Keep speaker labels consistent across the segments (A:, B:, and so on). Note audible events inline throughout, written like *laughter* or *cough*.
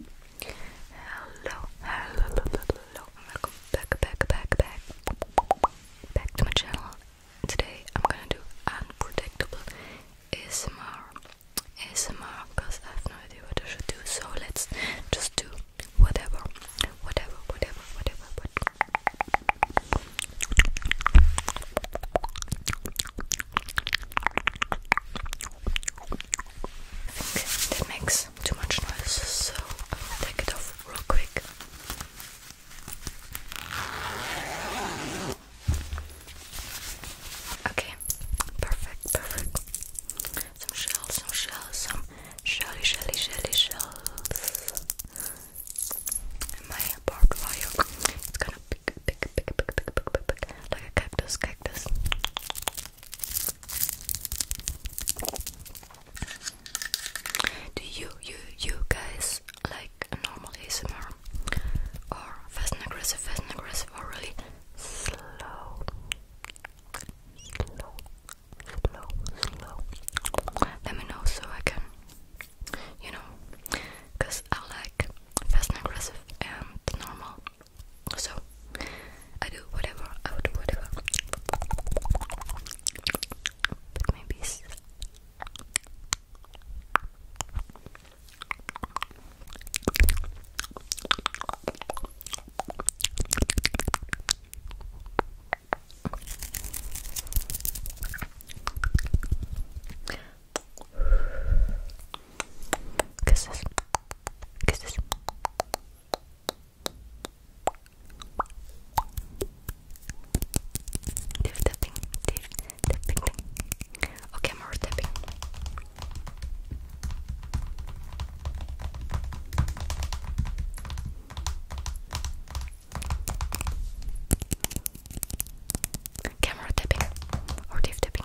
A: Hello, hello, hello, and welcome back, back, back, back, back to my channel. Today I'm gonna do unpredictable ASMR, ASMR, because I have no idea what I should do. So let's just do whatever, whatever, whatever, whatever. whatever. I think that makes too much noise, so i am gonna take it off real quick. Okay, perfect, perfect. Some shells, some shells, some shelly, shelly, shelly shells. my barbed it's gonna pick, pick, pick, pick, pick, pick, pick, pick, like a cactus, cactus. Do you you you guys like a normal ASMR or fast and aggressive, fast and aggressive or really slow? Slow, slow, slow. Let me know so I can you know because I like fast and aggressive and normal so I do whatever, I would do whatever. But maybe Kisses. Kisses. tapping, Dave tapping, Okay, more am tapping. Camera tapping or Dave tapping.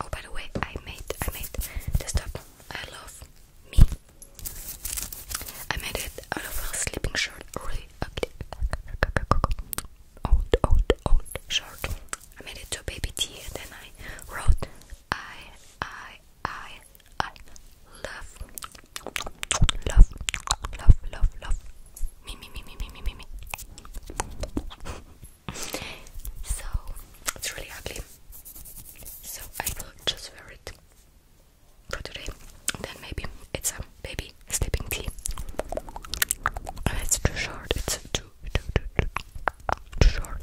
A: Oh, by the way, I made I made this top. I love me. I made it out of a sleeping shirt, really ugly, old, old, old shirt. I made it to baby tea, and then I wrote I, I, I, I love, love, love, love, love me, me, me, me, me, me, me, me. so it's really ugly. So I will just wear it for today. Then maybe it's a baby sleeping tea. Oh, it's too short. It's too too too too, too short.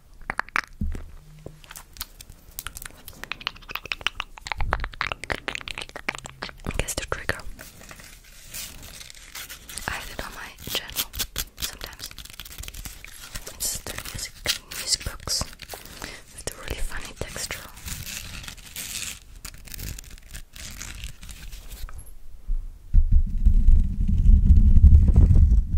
A: Guess the trigger. I have it on my channel sometimes. It's the music, music box with the really funny texture.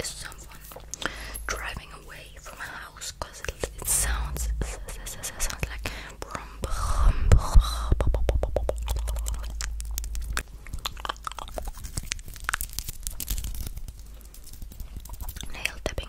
A: Is someone driving away from a house? Cause it, it sounds, sounds like nail tapping.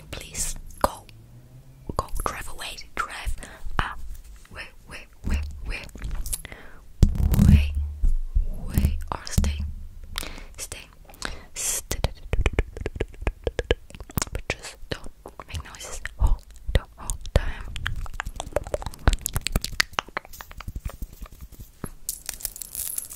A: please go, go drive away, drive away, way, way, way, way, or stay, stay, stay. just don't make noises the whole time.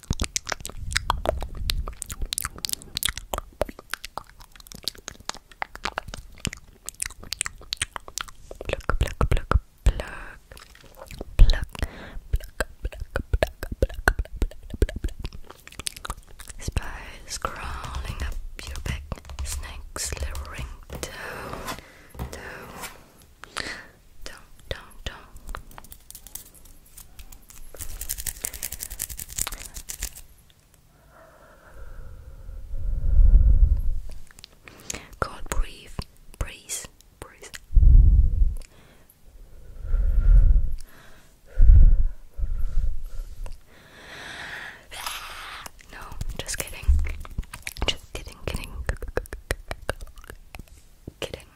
A: Pluck, pluck, pluck, pluck. Pluck, pluck, pluck, pluck, pluck, pluck, pluck. Spiders crawling up your back, snakes slithering down, down. Don't, don't, don't. God, breathe, breathe, breathe. No, just kidding. Just kidding, kidding, kidding.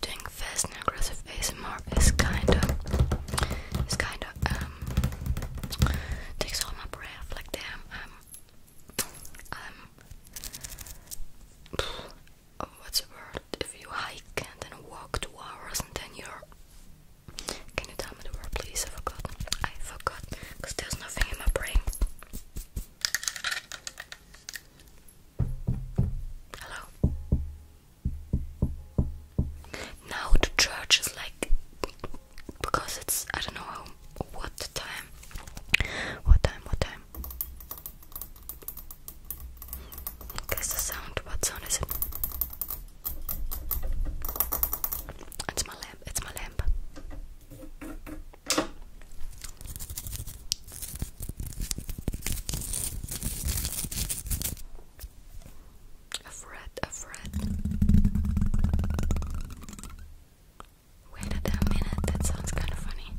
A: Doing fast and aggressive ASMR is kinda, is kinda, um, takes all my breath, like damn, um, um, oh, what's the word, if you hike and then walk two hours and then you're, can you tell me the word please, I forgot, I forgot, because there's nothing in my brain. Hello. Now the church is like because it's I don't know what time. What time? What time? Guess the sound. What sound is it? It's my lamp. It's my lamp. A afraid. Wait a damn minute, that sounds kind of funny.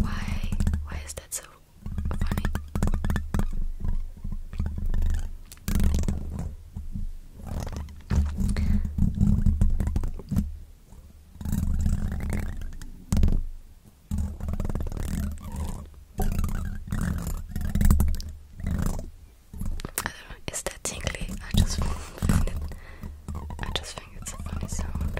A: Why? Why is that so funny? Is that tingly? I just *laughs* find it. I just think it's a funny sound.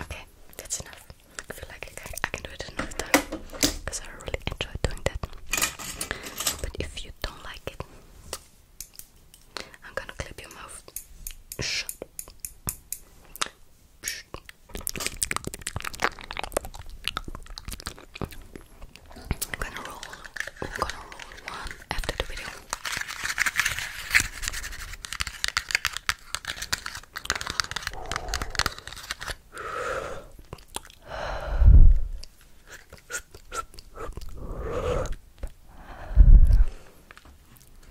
A: Okay, that's enough. I feel like I can, do it another time because I really enjoy doing that. But if you don't like it, I'm gonna clip your mouth shut. I'm gonna roll. I'm gonna roll one after the video.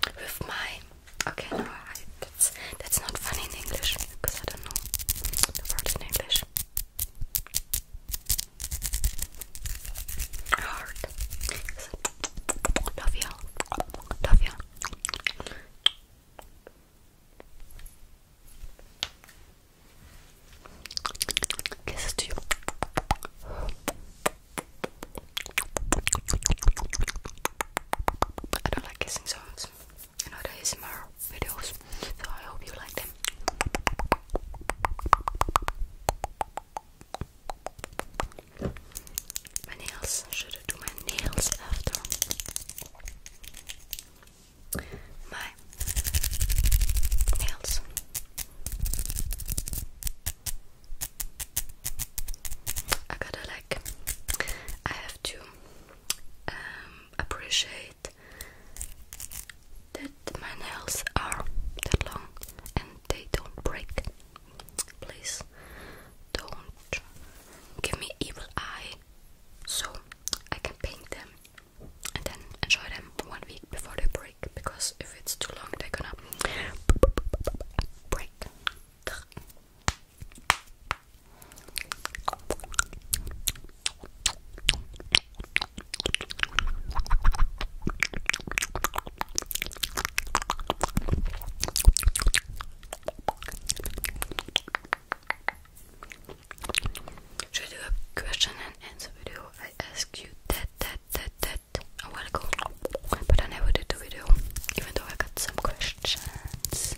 A: With my Okay, no, I, that's that's not funny in English because I don't know the word in English. Heart. Love you. Love you. Kisses to you. I don't like kissing songs and other ASMR videos. So I hope you like them. My nails. Should I do my nails after? My nails. I gotta like. I have to um, appreciate that my nails are that long and they don't break. Please don't give me evil eye so I can paint them and then enjoy them one week before they break because if it's too long they're gonna break. Should do a question and answer video? I asked you that, that, that, that a while ago, but I never did the video, even though I got some questions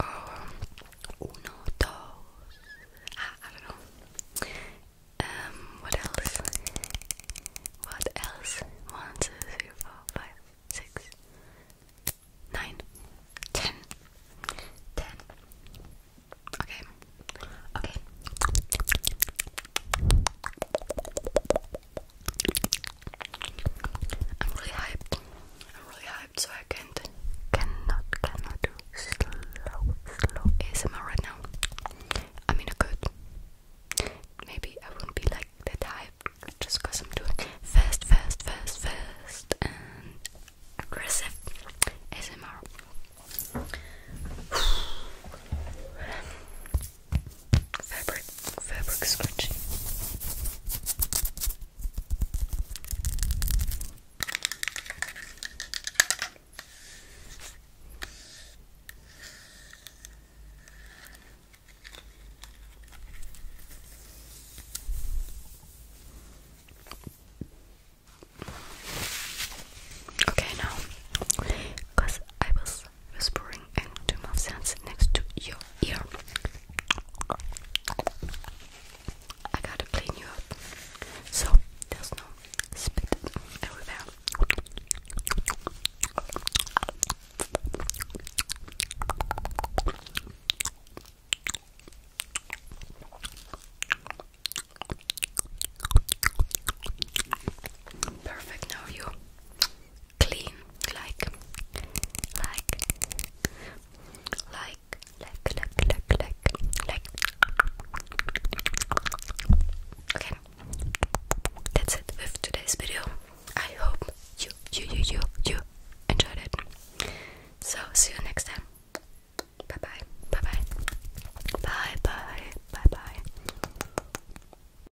A: um, uno, dos. Ah, I don't know. Um, what else? What else? One, two, three, four, five, six, nine, ten, ten. Okay. Okay. I'm really hyped. I'm really hyped, so I can't, cannot, cannot do slow, slow ASMR right now. I mean, I could. Maybe I wouldn't be like that hyped just because I'm doing fast, fast, fast, fast, and aggressive ASMR fabric fabric scrunchie. Okay, now, because I was whispering and into my sense next to your ear. I gotta clean you up so there's no spit everywhere. Perfect, now you clean, like, like, like, like, like, like, like, Okay, that's it with today's video. I hope you, you, you, you, you enjoyed it. So see you next time. Bye bye. Bye bye. Bye bye. Bye bye.